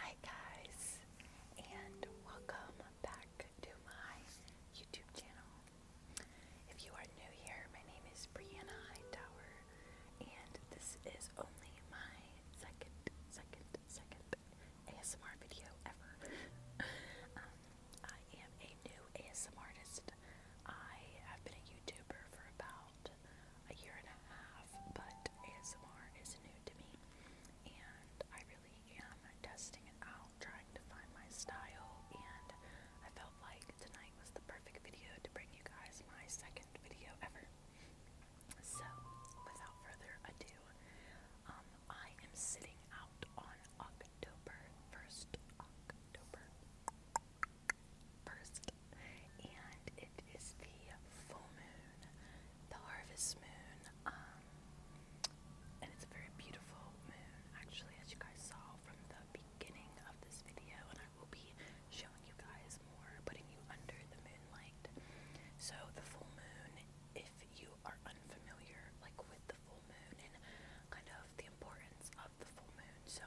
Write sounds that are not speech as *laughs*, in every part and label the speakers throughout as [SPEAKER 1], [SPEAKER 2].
[SPEAKER 1] Hi guys, and welcome back to my YouTube channel. If you are new here, my name is Brianna Hightower, and this is only my second, second, second ASMR video ever. *laughs* Um, I am a new ASMR artist. I have been a YouTuber for about a year and a half, but ASMR is new to me, and I really I am testing it out, trying to find my style, and I felt like tonight was the perfect video to bring you guys my second video ever. So, without further ado, um, I am sitting out on October 1st, October 1st, and it is the full moon, the harvest moon, um, and it's a very beautiful moon, actually, as you guys saw from the beginning of this video. And I will be showing you guys more, putting you under the moonlight. So, the full moon, if you are unfamiliar, like with the full moon and kind of the importance of the full moon. So,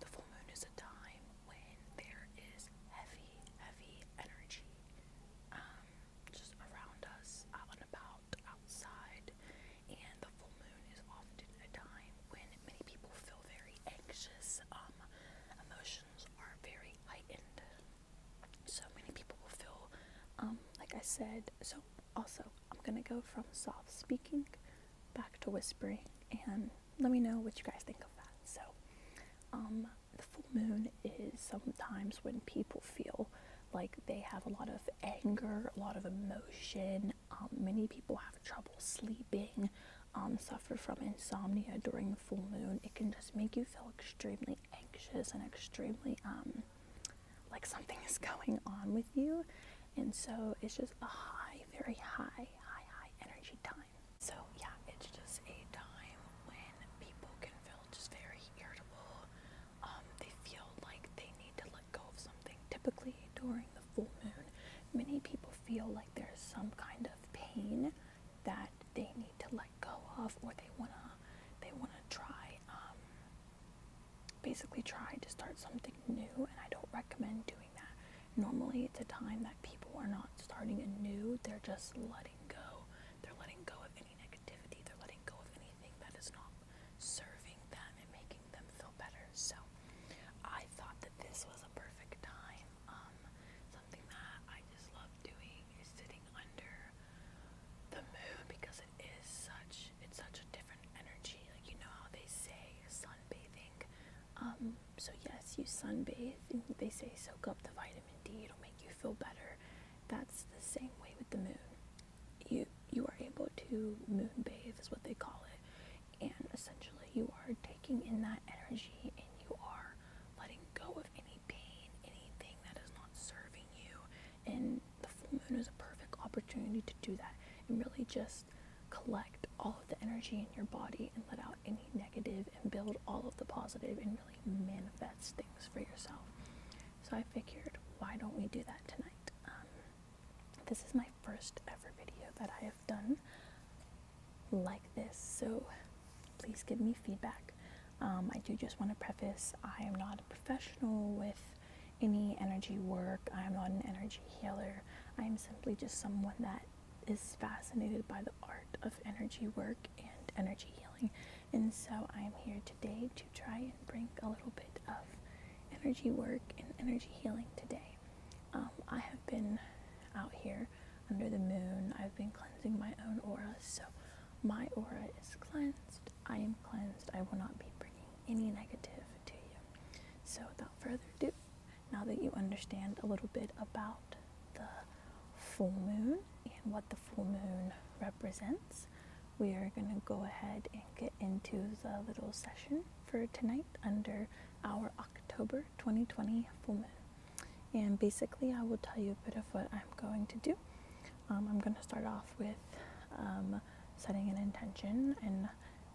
[SPEAKER 1] the full moon is a time when there is heavy, heavy energy um, just around us, and about, outside, and the full moon is often a time when many people feel very anxious. Um, emotions are very heightened. So many people will feel, um, like I said, so also I'm gonna go from soft speaking back to whispering and let me know what you guys think of that. So, um, the full moon is sometimes when people feel like they have a lot of anger, a lot of emotion. Um, many people have trouble sleeping, um, suffer from insomnia during the full moon. It can just make you feel extremely anxious and extremely um, like something is going on with you. And so it's just a high, very high, high, high energy time. So yeah, it's just a time when people can feel just very irritable. Um, they feel like they need to let go of something. Typically, during the full moon, many people feel like there's some kind of pain that they need to let go of, or they wanna they wanna try um, basically try to start something new. And I don't recommend doing that. Normally, it's a time that people are not starting anew; they're just letting go. They're letting go of any activity. They're letting go of anything that is not serving them and making them feel better. So I thought that this was a perfect time. Um, something that I just love doing is sitting under the moon because it is such it's such a different energy. Like you know how they say sunbathing. Um, so yes, you sunbathe. They say soak up the vitamin D. It'll make you feel better. That's the same way with the moon. You you are able to moon bathe is what they call it. And essentially you are taking in that energy and you are letting go of any pain, anything that is not serving you. And the full moon is a perfect opportunity to do that and really just collect all of the energy in your body and let out any negative and build all of the positive and really manifest things for yourself. So I figured, why don't we do that tonight? Um, this is my first ever video that I have done like this, so please give me feedback. Um, I do just want to preface I am not a professional with any energy work, I am not an energy healer. I am simply just someone that is fascinated by the art of energy work and energy healing and so I'm here today to try and bring a little bit of energy work and energy healing today. Um, I have been out here under the moon. I've been cleansing my own aura, so my aura is cleansed. I am cleansed. I will not be bringing any negative to you. So without further ado, now that you understand a little bit about the full moon and what the full moon represents, we are going to go ahead and get into the little session for tonight under our October 2020 full moon. And basically, I will tell you a bit of what I'm going to do. Um, I'm going to start off with um, setting an intention, and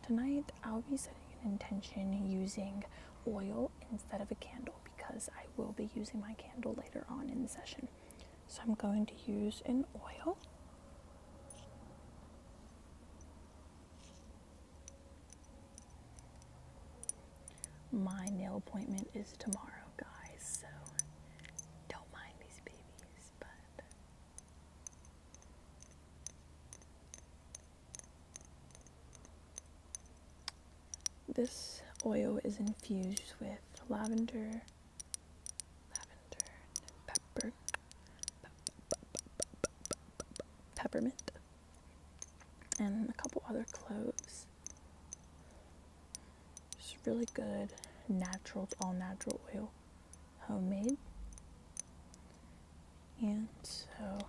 [SPEAKER 1] tonight I'll be setting an intention using oil instead of a candle because I will be using my candle later on in the session. So I'm going to use an oil. My nail appointment is tomorrow, guys, so don't mind these babies, but this oil is infused with lavender lavender, pepper, peppermint, and a couple other cloves. It's really good, natural, all natural oil, homemade. And so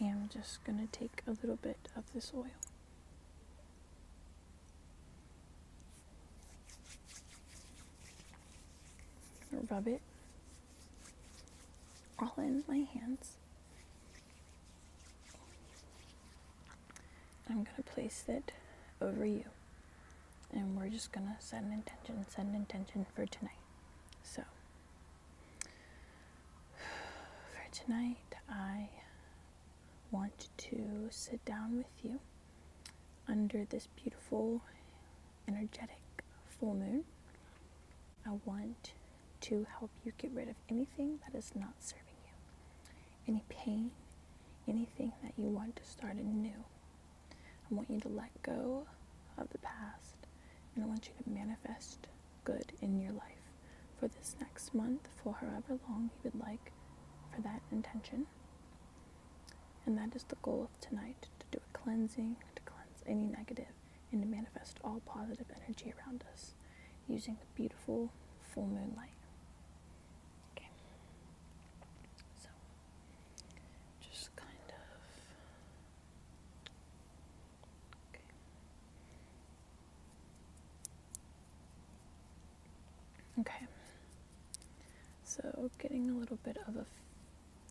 [SPEAKER 1] I am just going to take a little bit of this oil. Rub it all in my hands. I'm going to place it over you and we're just gonna set an intention, set an intention for tonight. So, *sighs* for tonight, I want to sit down with you under this beautiful, energetic full moon. I want to help you get rid of anything that is not serving you, any pain, anything that you want to start anew I want you to let go of the past and I want you to manifest good in your life for this next month, for however long you would like for that intention. And that is the goal of tonight to do a cleansing, to cleanse any negative, and to manifest all positive energy around us using the beautiful full moonlight. Okay. So, just kind of. Okay. So, getting a little bit of a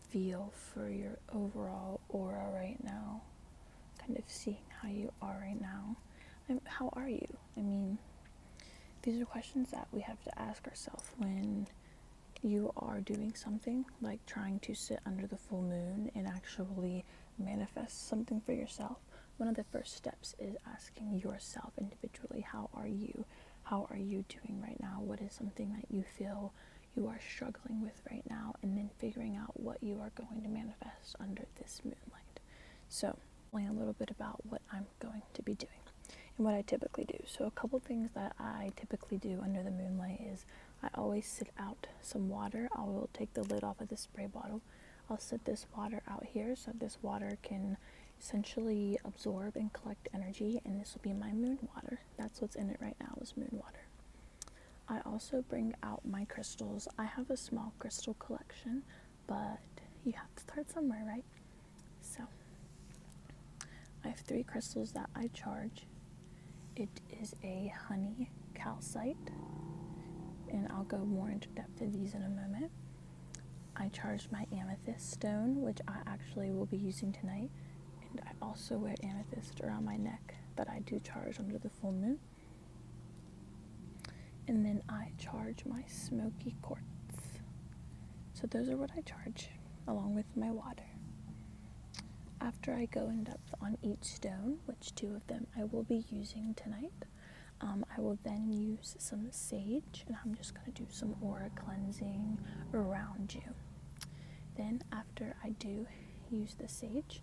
[SPEAKER 1] feel for your overall aura right now. Kind of seeing how you are right now. how are you? I mean, these are questions that we have to ask ourselves when you are doing something like trying to sit under the full moon and actually manifest something for yourself, one of the first steps is asking yourself individually, How are you? How are you doing right now? What is something that you feel you are struggling with right now? And then figuring out what you are going to manifest under this moonlight. So, a little bit about what I'm going to be doing and what I typically do. So, a couple things that I typically do under the moonlight is I always sit out some water. I will take the lid off of the spray bottle. I'll set this water out here so this water can essentially absorb and collect energy, and this will be my moon water. That's what's in it right now is moon water. I also bring out my crystals. I have a small crystal collection, but you have to start somewhere, right? So, I have three crystals that I charge. It is a honey calcite, and I'll go more into depth of these in a moment. I charge my amethyst stone, which I actually will be using tonight, and I also wear amethyst around my neck that I do charge under the full moon. And then I charge my smoky quartz. So those are what I charge along with my water. After I go in depth on each stone, which two of them I will be using tonight, um, I will then use some sage and I'm just going to do some aura cleansing around you. Then, after I do use the sage,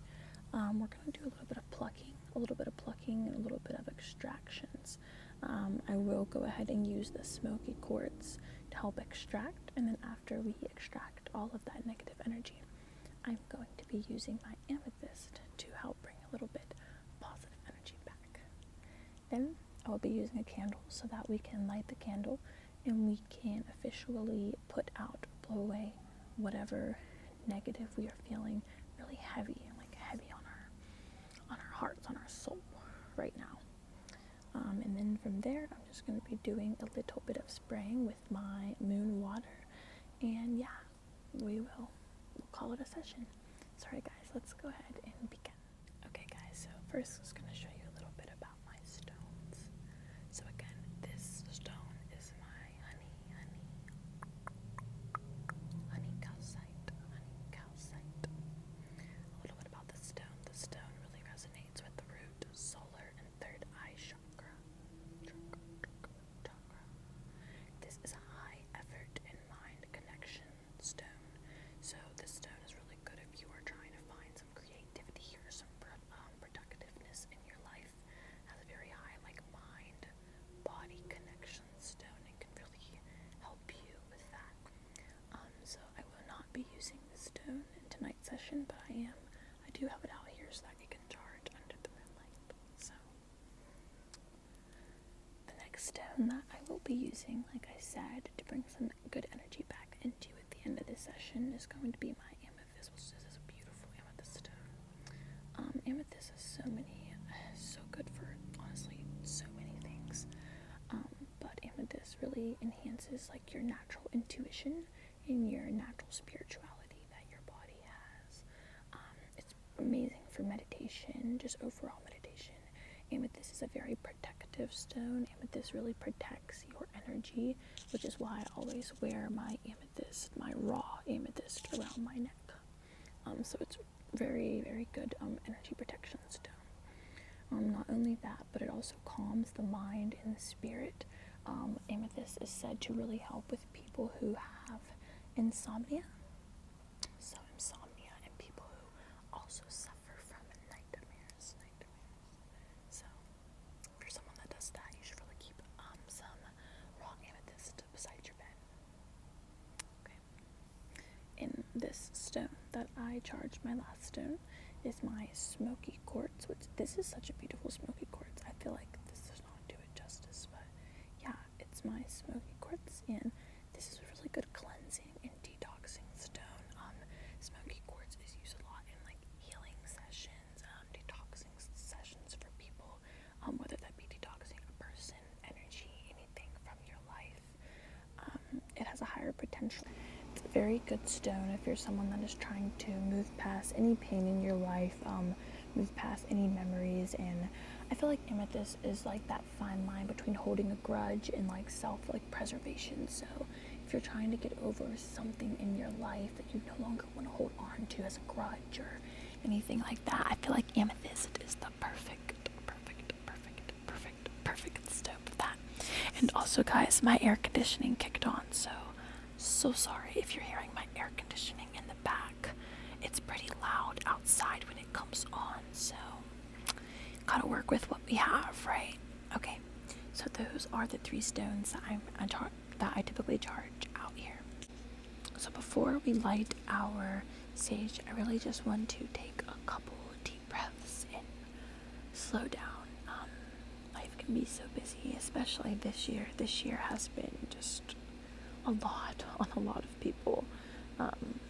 [SPEAKER 1] um, we're going to do a little bit of plucking, a little bit of plucking, and a little bit of extractions. Um, I will go ahead and use the smoky quartz to help extract. And then after we extract all of that negative energy, I'm going to be using my amethyst to help bring a little bit positive energy back. Then I will be using a candle so that we can light the candle and we can officially put out, blow away whatever negative we are feeling really heavy, like heavy on our on our hearts, on our soul right now. Um, and then from there, I'm just going to be doing a little bit of spraying with my moon water. And yeah, we will we'll call it a session. Sorry guys, let's go ahead and begin. Okay guys, so first I'm just going to show you a little bit about my stones. So again, this stone is my honey, honey, honey calcite, honey calcite. A little bit about the stone. The stone really resonates with the root, solar, and third eye chakra. This is a high effort in mind connection stone. So this stone is really good if you are trying to find some creativity or some um, productiveness in your life. has a very high like mind body connection stone and can really help you with that. Um, so I will not be using the stone in tonight's session, but I am. I do have it out here so that you can charge under the moonlight. So the next stone that I will be using, like I said, to bring some good energy back into at the end of this session is going to be my amethyst, which is a beautiful amethyst stone. Um, amethyst is so many, so good for honestly so many things. Um, but amethyst really enhances like your natural intuition and your natural spirituality that your body has. Um, it's amazing for meditation, just overall meditation. Amethyst is a very protective stone. Amethyst really protects your energy, which is why I always wear my amethyst, my raw amethyst around my neck. Um, so it's very, very good um, energy protection stone. Um, not only that, but it also calms the mind and the spirit. Um, amethyst is said to really help with people who have insomnia. So, insomnia and people who also suffer from nightmares. So, for someone that does that, you should really keep um, some raw amethyst beside your bed. Okay in this stone that I charged my last stone is my smoky quartz, which this is such a beautiful smoky quartz. I feel like this does not do it justice, but yeah, it's my smoky quartz, and this is a really good cleansing and detoxing stone. Um, smoky quartz is used a lot in like healing sessions, um, detoxing sessions for people, um, whether that be detoxing a person, energy, anything from your life. Um, it has a higher potential. It's a very good stone if you're someone that is trying to move past any pain in your life, um, move past any memories. And I feel like amethyst is like that fine line between holding a grudge and like self like preservation. So if you're trying to get over something in your life that you no longer want to hold on to as a grudge or anything like that, I feel like amethyst is the perfect, perfect, perfect perfect, perfect step for that. And also, guys, my air conditioning kicked on, so so sorry if you're hearing my air conditioning in the back. It's pretty loud outside when it comes on, so gotta work with what we have, right? Okay, so those are the three stones that I'm I that I typically charge out here. So before we light our sage, I really just want to take a couple deep breaths in slow down. Um, life can be so busy, especially this year. This year has been just a lot *laughs* on a lot of people, um,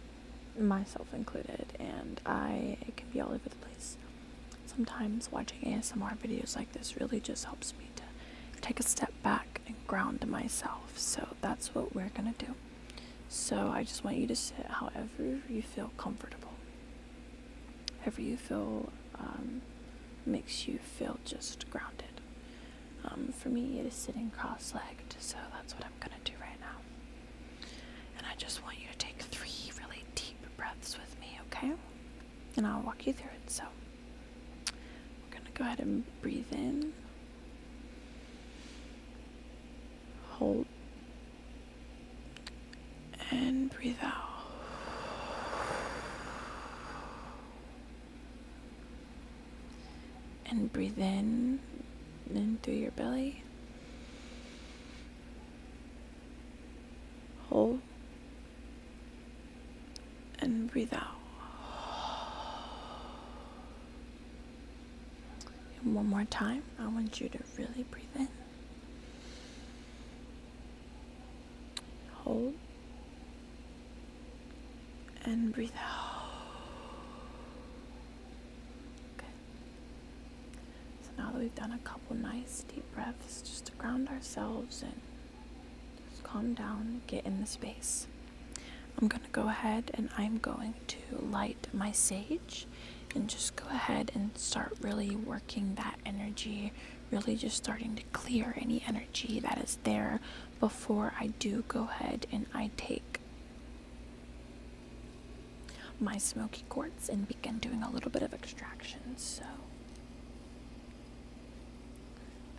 [SPEAKER 1] myself included, and I it can be all over the place. Sometimes watching ASMR videos like this really just helps me to take a step back and ground myself. So that's what we're gonna do. So I just want you to sit however you feel comfortable. Whatever you feel um, makes you feel just grounded. Um, for me, it is sitting cross legged, so that's what I'm gonna do right now. And I just want you to take three really deep breaths with me, okay? And I'll walk you through it. So, we're gonna go ahead and breathe in, hold and breathe out. And breathe in, in through your belly. Hold and breathe out. one more time, I want you to really breathe in. Hold and breathe out. Okay. So now that we've done a couple nice deep breaths just to ground ourselves and just calm down, get in the space. I'm going to go ahead and I'm going to light my sage and just go ahead and start really working that energy really just starting to clear any energy that is there before I do go ahead and I take my smoky quartz and begin doing a little bit of extraction so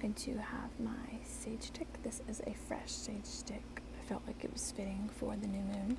[SPEAKER 1] I do have my sage stick this is a fresh sage stick I felt like it was fitting for the new moon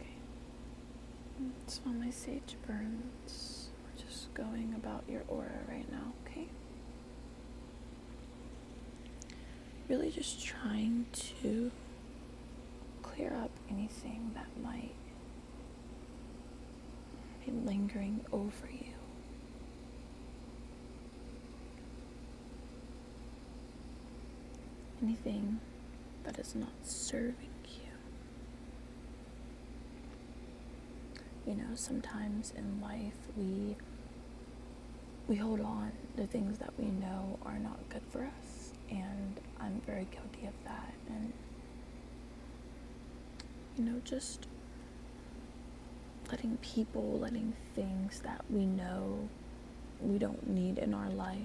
[SPEAKER 1] Okay. That's while my sage burns. We're just going about your aura right now, okay? Really just trying to clear up anything that might be lingering over you anything that is not serving you. You know, sometimes in life we we hold on to things that we know are not good for us, and I'm very guilty of that. And you know, just letting people, letting things that we know we don't need in our life.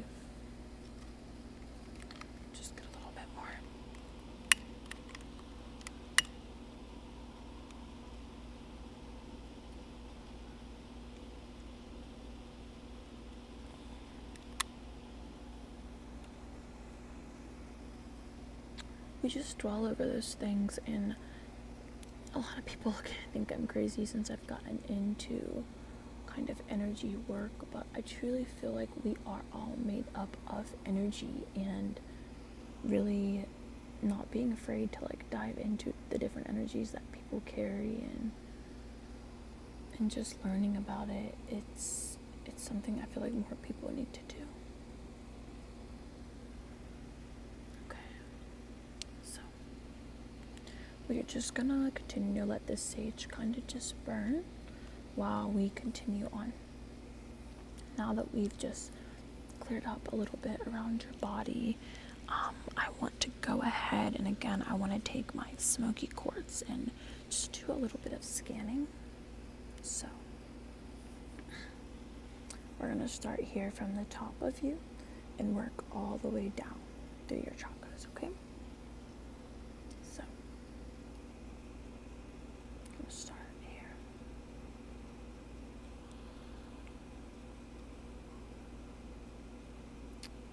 [SPEAKER 1] We just dwell over those things and a lot of people *laughs* think I'm crazy since I've gotten into kind of energy work, but I truly feel like we are all made up of energy and really not being afraid to like dive into the different energies that people carry and and just learning about it it's it's something I feel like more people need to do. Okay. So we're just gonna continue to let this sage kind of just burn while we continue on. Now that we've just cleared up a little bit around your body, um, I want to go ahead and again, I want to take my smoky quartz and just do a little bit of scanning. So we're going to start here from the top of you and work all the way down through your chakras, okay? So we'll start here.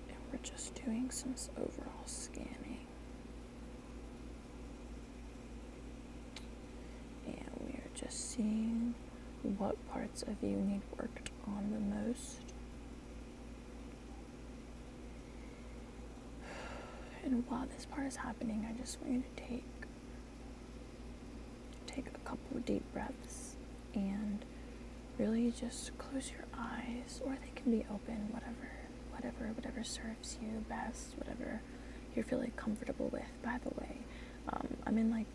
[SPEAKER 1] And we're just doing some overall scanning. And we are just seeing what parts of you need worked on the most and while this part is happening, I just want you to take take a couple deep breaths and really just close your eyes or they can be open, whatever, whatever, whatever serves you best, whatever you're feeling comfortable with. By the way, um, I'm in like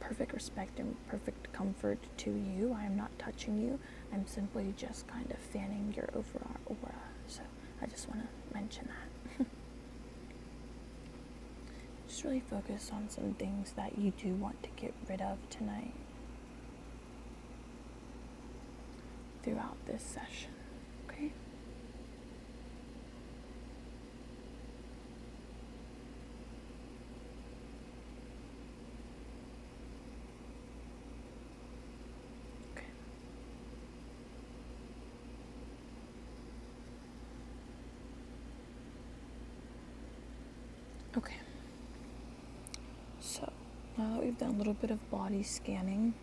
[SPEAKER 1] perfect respect and perfect comfort to you. I am not touching you. I'm simply just kind of fanning your overall aura. So I just want to mention that. *laughs* just really focus on some things that you do want to get rid of tonight throughout this session. Okay? Okay. Okay. So now that we've done a little bit of body scanning,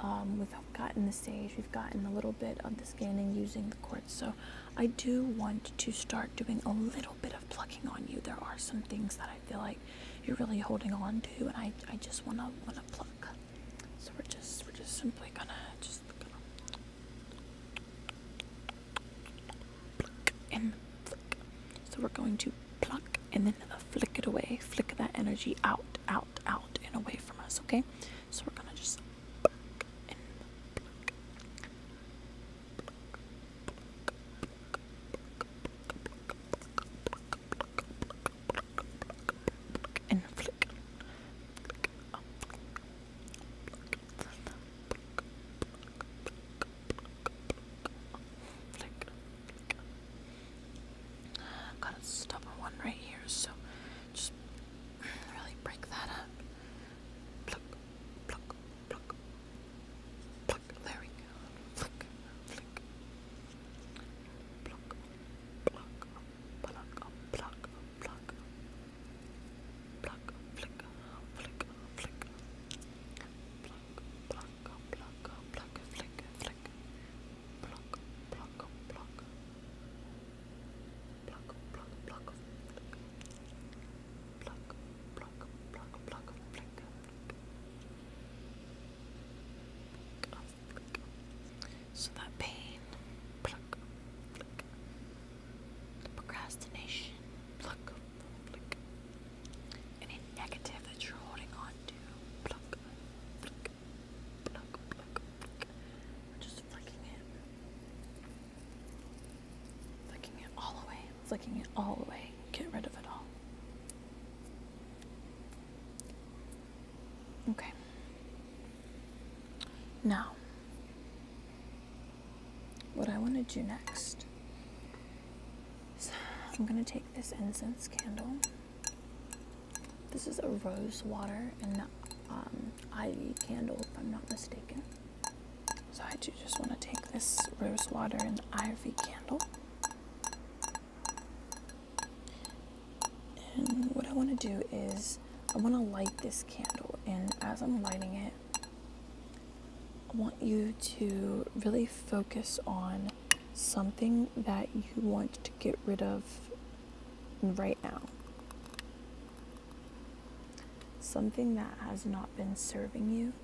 [SPEAKER 1] um, we've gotten the stage. we've gotten a little bit of the scanning using the quartz. So I do want to start doing a little bit plucking on you, there are some things that I feel like you're really holding on to, and I, I just wanna wanna pluck. So we're just we're just simply gonna just pluck and flick. So we're going to pluck and then flick it away, flick that energy out, out, out, and away from us. Okay, so we're gonna just pluck and pluck, and flick. Flick. I've a one right here, so just really break that up. Pluck, pluck, pluck, there we go, flick, flick, pluck, pluck, pluck, pluck, pluck, pluck, flick, flick, flick, pluck, pluck, pluck, pluck, flick, flick, pluck, pluck, pluck. Pluck, pluck, pluck, pluck, pluck, pluck, pluck, pluck, pluck, pluck, pluck, pluck, pluck, So that pain, The procrastination, Any negative that you're holding on to, We're just flicking it. Flicking it all away, flicking it all away. Get rid of it all. Okay. Now, what I want to do next I'm going to take this incense candle. This is a rose water and um, ivy candle, if I'm not mistaken. So I do just want to take this rose water and ivy candle. And what I want to do is I want to light this candle and as I'm lighting it, I want you to really focus on something that you want to get rid of right now. Something that has not been serving you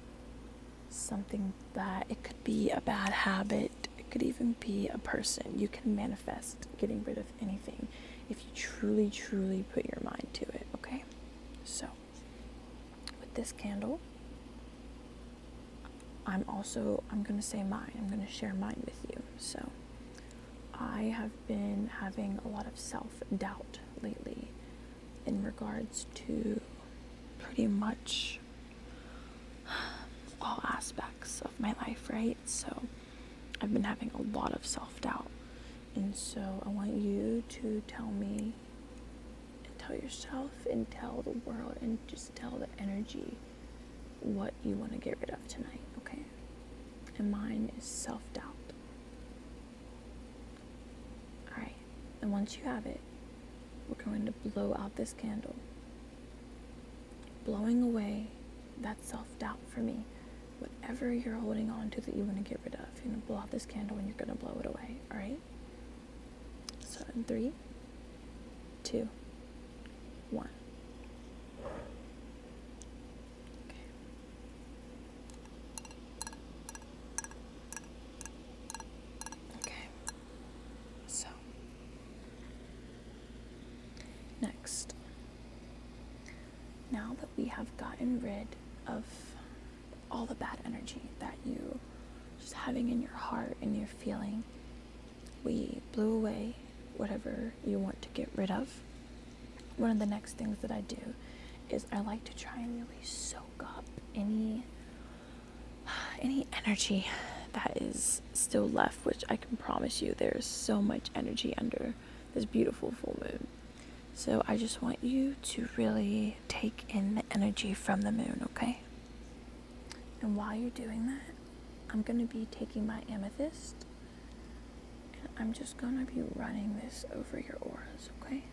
[SPEAKER 1] something that it could be a bad habit, it could even be a person. You can manifest getting rid of anything if you truly, truly put your mind to it, okay? So, with this candle, I'm also I'm going to say mine. I'm going to share mine with you. So, I have been having a lot of self-doubt lately in regards to pretty much all aspects of my life, right? So I've been having a lot of self doubt. And so I want you to tell me and tell yourself and tell the world and just tell the energy what you want to get rid of tonight, okay? And mine is self doubt. Alright, and once you have it, we're going to blow out this candle. Blowing away that self doubt for me. Whatever you're holding on to that you want to get rid of, you're going to blow out this candle and you're going to blow it away. Alright? So, in three, two, one. Okay. Okay, so next, now that we have gotten rid of all the bad energy that you just having in your heart and your feeling, we blew away whatever you want to get rid of. One of the next things that I do is I like to try and release so up any any energy that is still left, which I can promise you there's so much energy under this beautiful full moon. So I just want you to really take in the energy from the moon, okay? And while you're doing that, I'm going to be taking my amethyst and I'm just going to be running this over your auras, okay?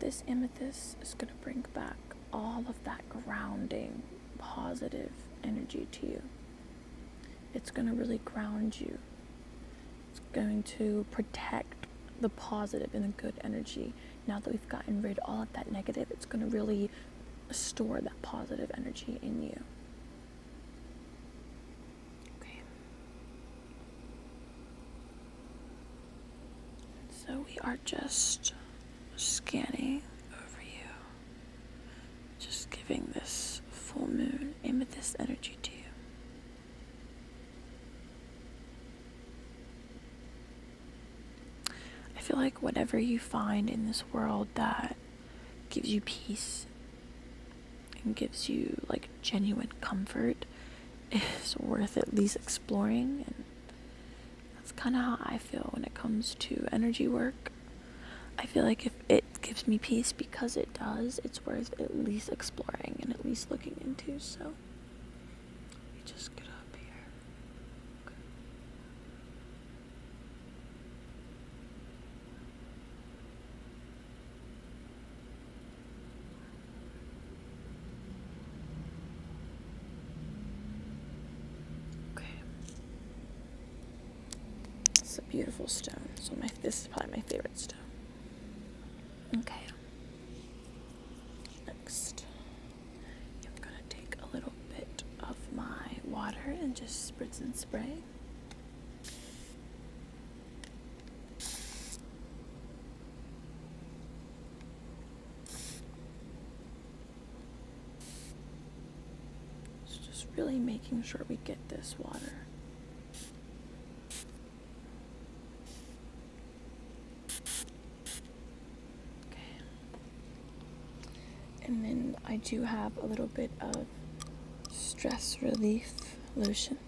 [SPEAKER 1] This amethyst is going to bring back all of that grounding, positive energy to you. It's going to really ground you. It's going to protect the positive and the good energy. Now that we've gotten rid of all of that negative, it's going to really store that positive energy in you. Okay. So we are just scanning over you, just giving this full moon amethyst energy to you. I feel like whatever you find in this world that gives you peace and gives you like genuine comfort *laughs* is worth at least exploring and that's kind of how I feel when it comes to energy work. I feel like if it gives me peace because it does, it's worth at least exploring and at least looking into. So, let me just get up here. Okay. It's a beautiful stone. So my this is probably my favorite stone. Okay. Next, I'm gonna take a little bit of my water and just spritz and spray just really making sure we get this water. and then I do have a little bit of stress relief lotion.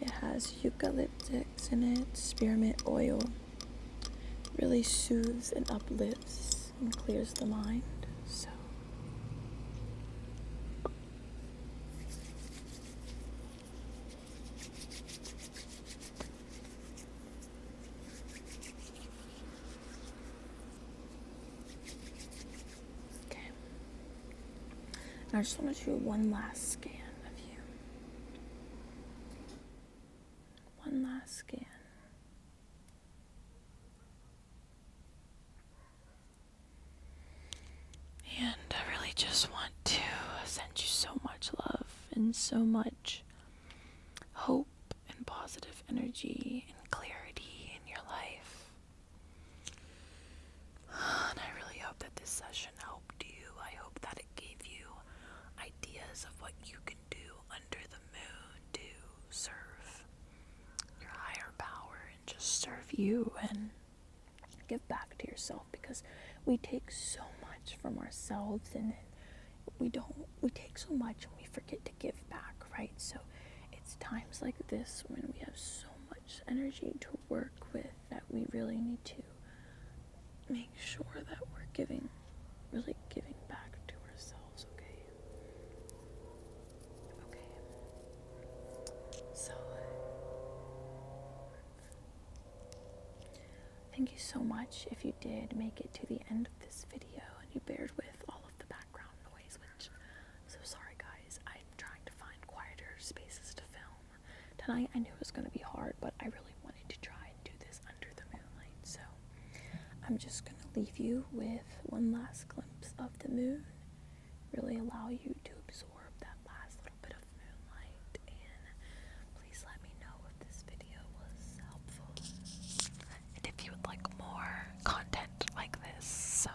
[SPEAKER 1] It has eucalyptics in it, spearmint oil. Really soothes and uplifts and clears the mind. So Okay. I just want to do one last scan of you. One last scan. And I really just want to send you so much love and so much hope and positive energy and clarity in your life. And I really hope that this session helped you. I hope that it gave you ideas of what you can do under the moon to serve your higher power and just serve you and give back to yourself because we take so much from ourselves and we don't we take so much and we forget to give back right so it's times like this when we have so much energy to work with that we really need to make sure that we're giving, really giving back to ourselves, okay? Okay. So, thank you so much if you did make it to the end of this video and you bared with all of the background noise, which I'm so sorry guys, I'm trying to find quieter spaces to film tonight I knew it was going to be hard, but I really wanted to try and do this under the moonlight. So I'm just going to leave you with one last glimpse of the moon, really allow you to absorb that last little bit of moonlight, and please let me know if this video was helpful and if you would like more content like this. So,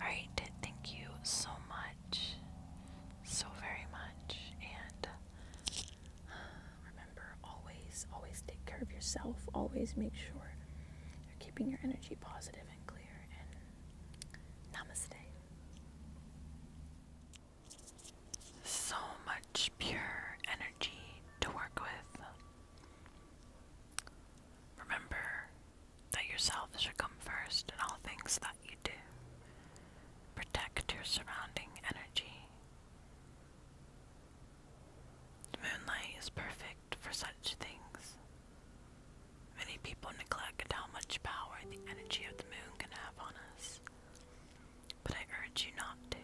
[SPEAKER 1] alright, thank you so much so very much. And uh, remember, always, always take care of yourself. Always make sure you're keeping your energy positive and clear. And namaste. So much pure energy to work with. Remember, that yourself should come first in all things that you do. Protect your surrounding energy. The moonlight is perfect for such things. Many people neglect how much power the energy of the moon can have on us, but I urge you not to.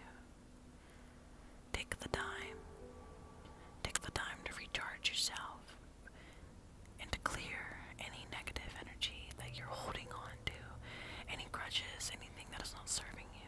[SPEAKER 1] Take the time. Take the time to recharge yourself and to clear any negative energy that you're holding on to, any grudges, anything that is not serving you.